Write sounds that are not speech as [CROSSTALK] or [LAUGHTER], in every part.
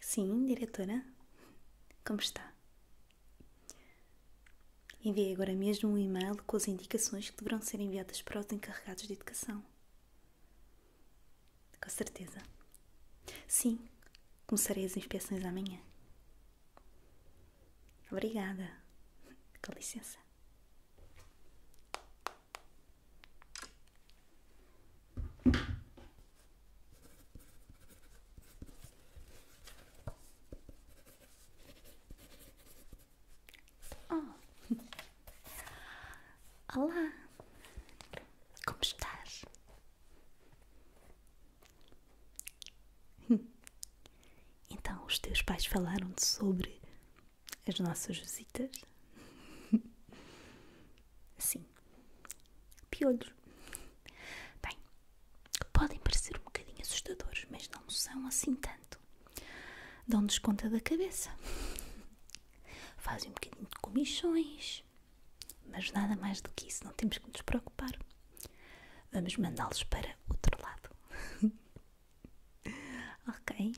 Sim, diretora? Como está? Enviei agora mesmo um e-mail com as indicações que deverão ser enviadas para os encarregados de educação. Com certeza. Sim, começarei as inspeções amanhã. Obrigada. Com licença. Oh. [LAUGHS] Olá, como estás? [LAUGHS] Então, os teus pais falaram-te sobre as nossas visitas? [LAUGHS] Sim, piolhos. Bem, podem parecer um bocadinho assustadores, mas não são assim tanto. Dão-nos conta da cabeça fazem um bocadinho de comissões, mas nada mais do que isso, não temos que nos preocupar. Vamos mandá-los para outro lado. [LAUGHS] ok?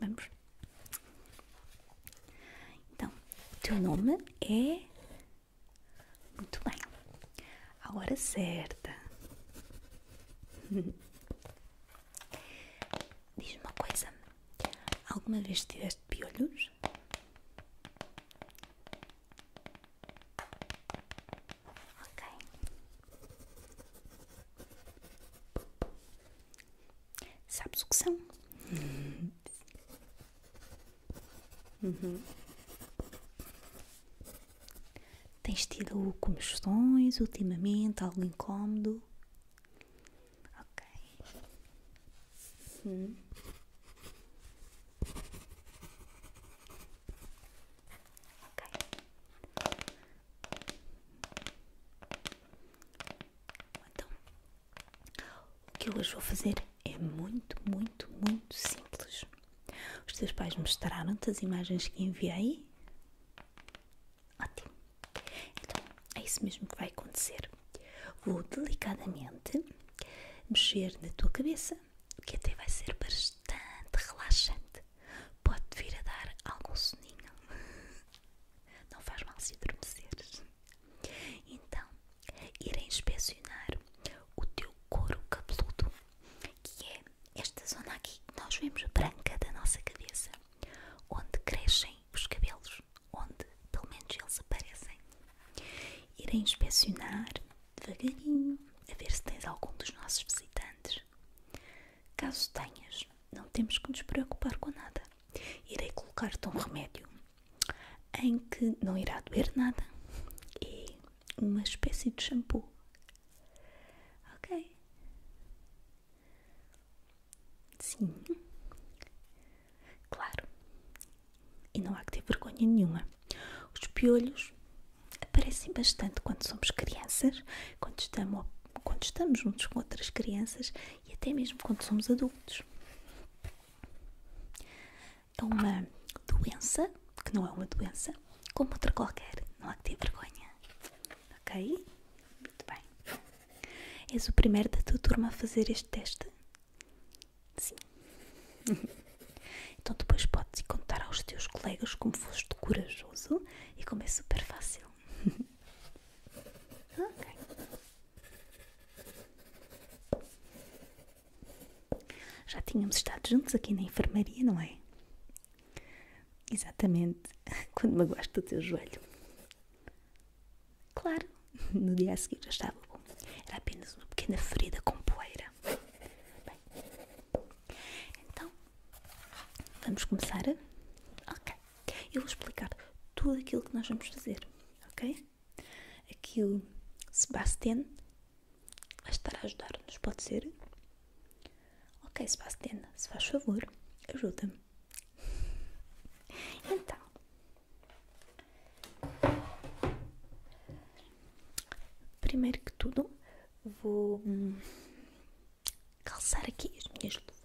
Vamos. Então, o teu nome é. Muito bem. A hora certa. [LAUGHS] Diz-me uma coisa: alguma vez tiveste piolhos? Ok. Sabes o que são? Uhum. Tens tido comichões ultimamente? Algo incómodo? Ok. Hum. Ok. Então, o que eu hoje vou fazer é muito, muito, muito simples. Os teus pais mostraram-te as imagens que enviei? Ótimo. Então, é isso mesmo que vai acontecer. Vou delicadamente mexer na tua cabeça, que até vai ser bastante relaxante. Pode vir a dar algum soninho. [LAUGHS] Não faz mal se adormeceres. Então, irei inspecionar o teu couro cabeludo, que é esta zona aqui que nós vemos branca da nossa cabeça onde crescem os cabelos, onde pelo menos eles aparecem. Irei inspecionar devagarinho a ver se tens algum dos nossos visitantes. Caso tenhas, não temos que nos preocupar com nada. Irei colocar-te um remédio em que não irá doer nada e uma espécie de shampoo. Ok? Sim, claro. E não há que ter vergonha nenhuma. Os piolhos aparecem bastante quando somos crianças, quando estamos, quando estamos juntos com outras crianças e até mesmo quando somos adultos. É uma doença, que não é uma doença, como outra qualquer. Não há que ter vergonha. Ok? Muito bem. És o primeiro da tua turma a fazer este teste? Sim. então depois podes contar aos teus colegas como foste corajoso e como é super fácil. [LAUGHS] ok. Já tínhamos estado juntos aqui na enfermaria, não é? Exatamente [LAUGHS] quando me gosto o teu joelho. Claro, no dia a seguir já estava bom. Era apenas uma pequena ferida com poeira. Bem, então, vamos começar? Ok, eu vou explicar tudo aquilo que nós vamos fazer, ok? Aqui o Sebastian vai estar a ajudar-nos, pode ser? Ok, Sebastiana, se faz favor, ajuda-me. [LAUGHS] Então, primeiro que tudo, vou hum, calçar aqui as minhas luvas.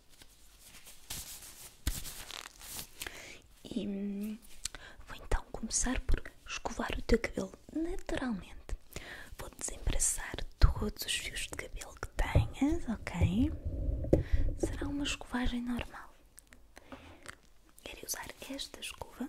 E vou então começar por escovar o teu cabelo naturalmente. Vou desembaraçar todos os fios de cabelo que tenhas, ok? Será uma escovagem normal. Quero usar esta escova.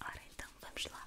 Ora então, vamos lá.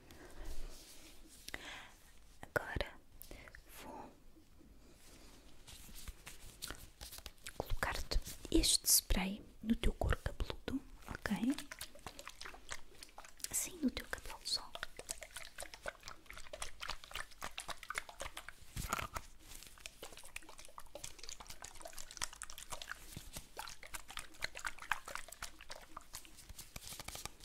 Agora vou colocar-te este spray no teu couro cabeludo, ok? Sim, no teu cabelo só.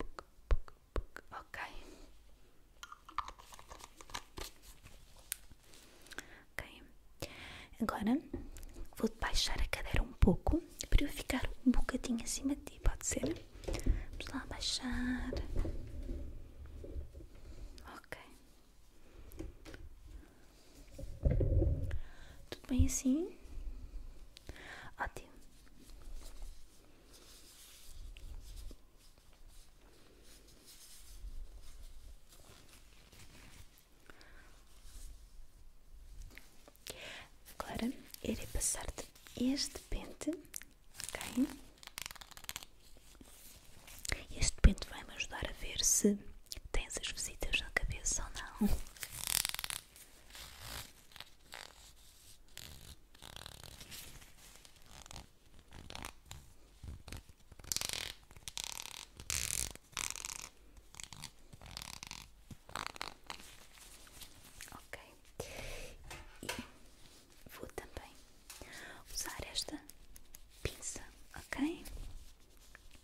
Ok. Ok. Agora vou baixar a cadeira um pouco para eu ficar um bocadinho acima de ti, pode ser? Vamos lá baixar. Ok. Tudo bem assim? Ótimo. Agora irei passar-te este pente, ok? Este pente vai me ajudar a ver se tens as visitas na cabeça ou não. Ok, vou também usar esta pinça, ok?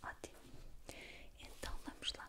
Ótimo. Então vamos lá.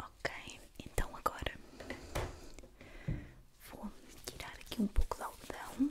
Ok, então agora vou tirar aqui um pouco de algodão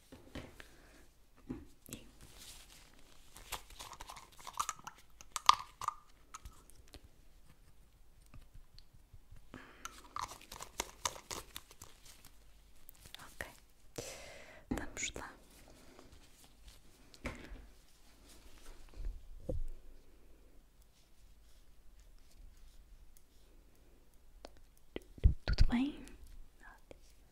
E Ok, vamos lá. Tudo bem?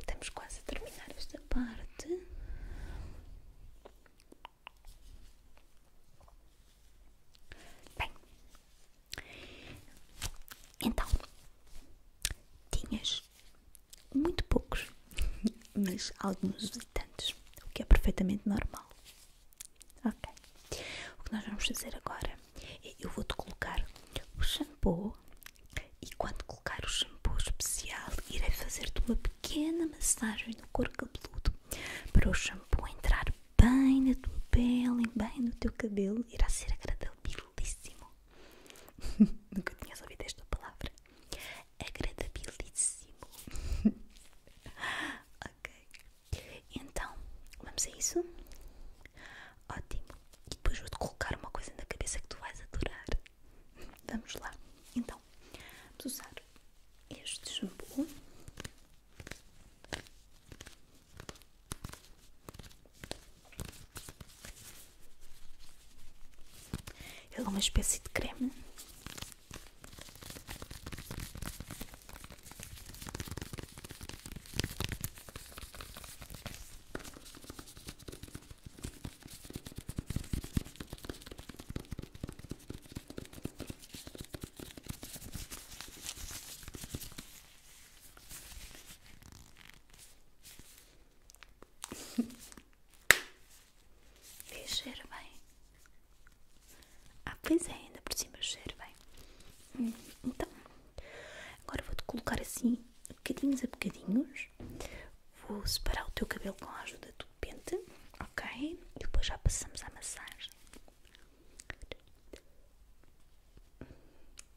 Estamos quase a terminar esta parte. Bem, então tinhas muito poucos, mas alguns visitantes, o que é perfeitamente normal. Ok. O que nós vamos fazer agora é eu vou-te colocar o shampoo e quando colocar o shampoo especial irei fazer-te uma pequena massagem no couro cabeludo para o shampoo entrar bem na tua pele, e bem no teu cabelo, irá ser agradabilíssimo. [LAUGHS] Nunca tinhas ouvido esta palavra. Agradabilíssimo. [LAUGHS] ok. Então, vamos a isso? Ótimo. E depois vou-te colocar uma coisa na cabeça que tu vais adorar. [LAUGHS] Vamos lá. Então, vamos usar este shampoo. Ele é uma espécie de creme. Vê, [LAUGHS] cheira bem. Ah, pois é, ainda por cima cheira bem. Hum, então, agora vou-te colocar assim, bocadinhos a bocadinhos. Vou separar o teu cabelo com a ajuda do pente, ok? E depois já passamos à massagem.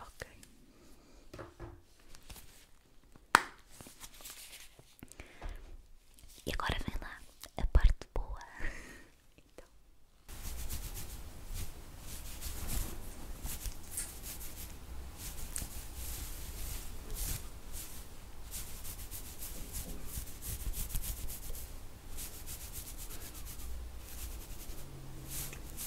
Ok. E agora vem lá a parte boa. Então.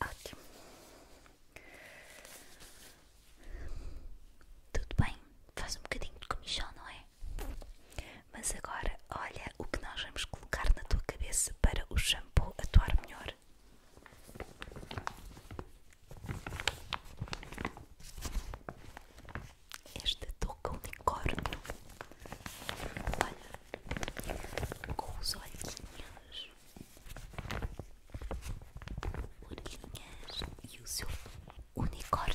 Ótimo. Tudo bem, faz um bocadinho de comichão, não é? Mas agora, olha o que nós vamos colocar na tua cabeça para o shampoo atuar melhor. Esta touca é unicórnio. Olha, com os olhinhos, orelhinhas e o seu unicórnio.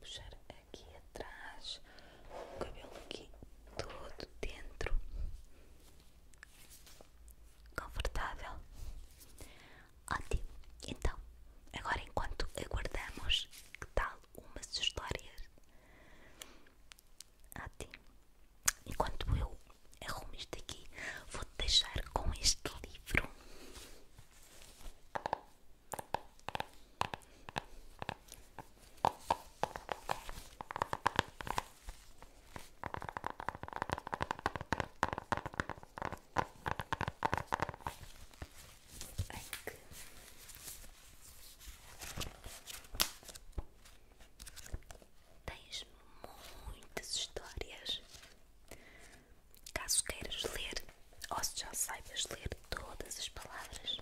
puxar aqui atrás o cabelo aqui todo dentro confortável ótimo então agora enquanto aguardamos que tal umas histórias ótimo enquanto eu arrumo isto aqui vou te deixar com este livro Tens muitas histórias Caso queiras ler, ou se já saibas ler todas as palavras.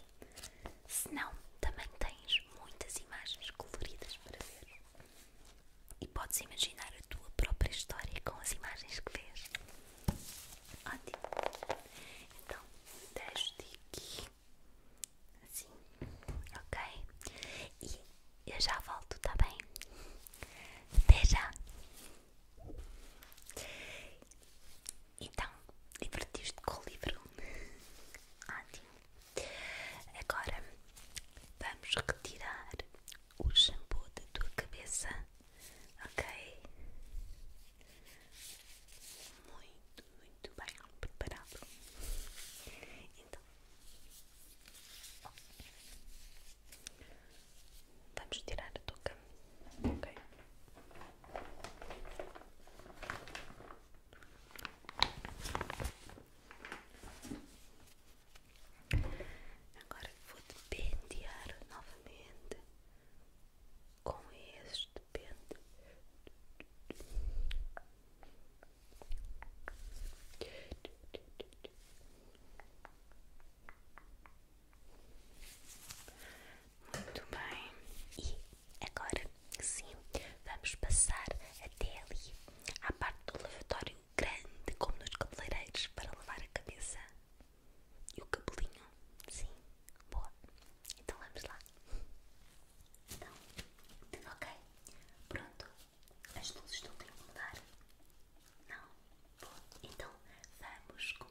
Se não, também tens muitas imagens coloridas para ver. E podes imaginar a tua própria história com as imagens que vês. Ótimo! Então, deixo-te aqui. Assim, ok? E eu já volto, tá bem? Até já! Então, divertiste com o livro? [LAUGHS] Ótimo! Agora vamos retirar o shampoo da tua cabeça, ok? Muito, muito bem preparado. Então, Vamos tirar a toca, ok? Agora vou te novamente com este pente. Muito bem. E agora sim, vamos passar até ali à parte do lavatório grande, como nos cabeleireiros, para lavar a cabeça e o cabelinho. Sim, boa. Então vamos lá. Então, ok, pronto. As luzes estão a incomodar. Não? Bom, então vamos começar.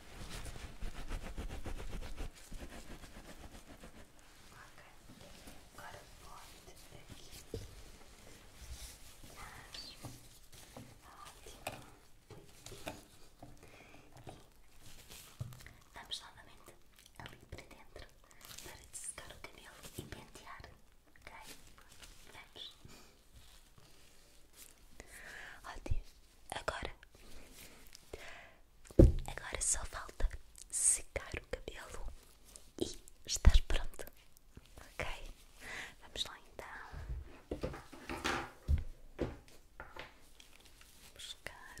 Agora volta aqui. Acho. Ótimo. E vamos novamente ali para dentro para dessecar o cabelo e pentear. Ok? Vamos. Ótimo. Agora. Agora só falta secar o cabelo e estás pronto. Ok? Vamos lá então. Buscar.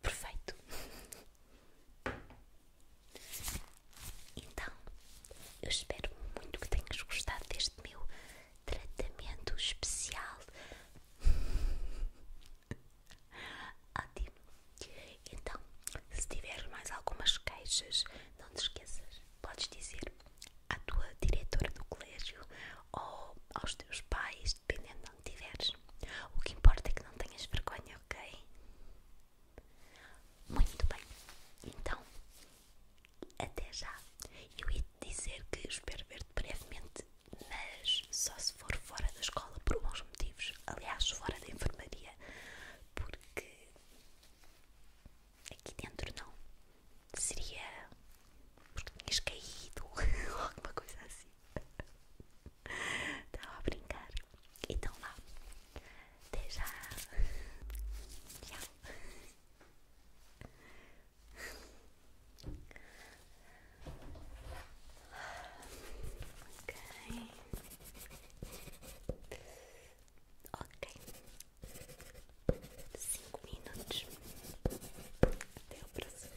Perfeito. Então, eu espero muito que tenhas gostado deste meu tratamento especial. [LAUGHS] Então, se tiveres mais algumas queixas, não te esqueças, podes dizer à tua diretora do colégio ou aos teus pais, dependendo de onde tiveres. O que importa é que não tenhas vergonha, ok? Muito bem, então até já. Eu ia te dizer que espero ver-te brevemente, mas só se for fora da escola por bons motivos aliás, fora da enfermaria porque aqui dentro não seria porque tinhas caído [LAUGHS] alguma coisa assim. Estava a brincar. Então lá. Até já. Tchau. Ok. Ok. Cinco minutos. Até o próximo.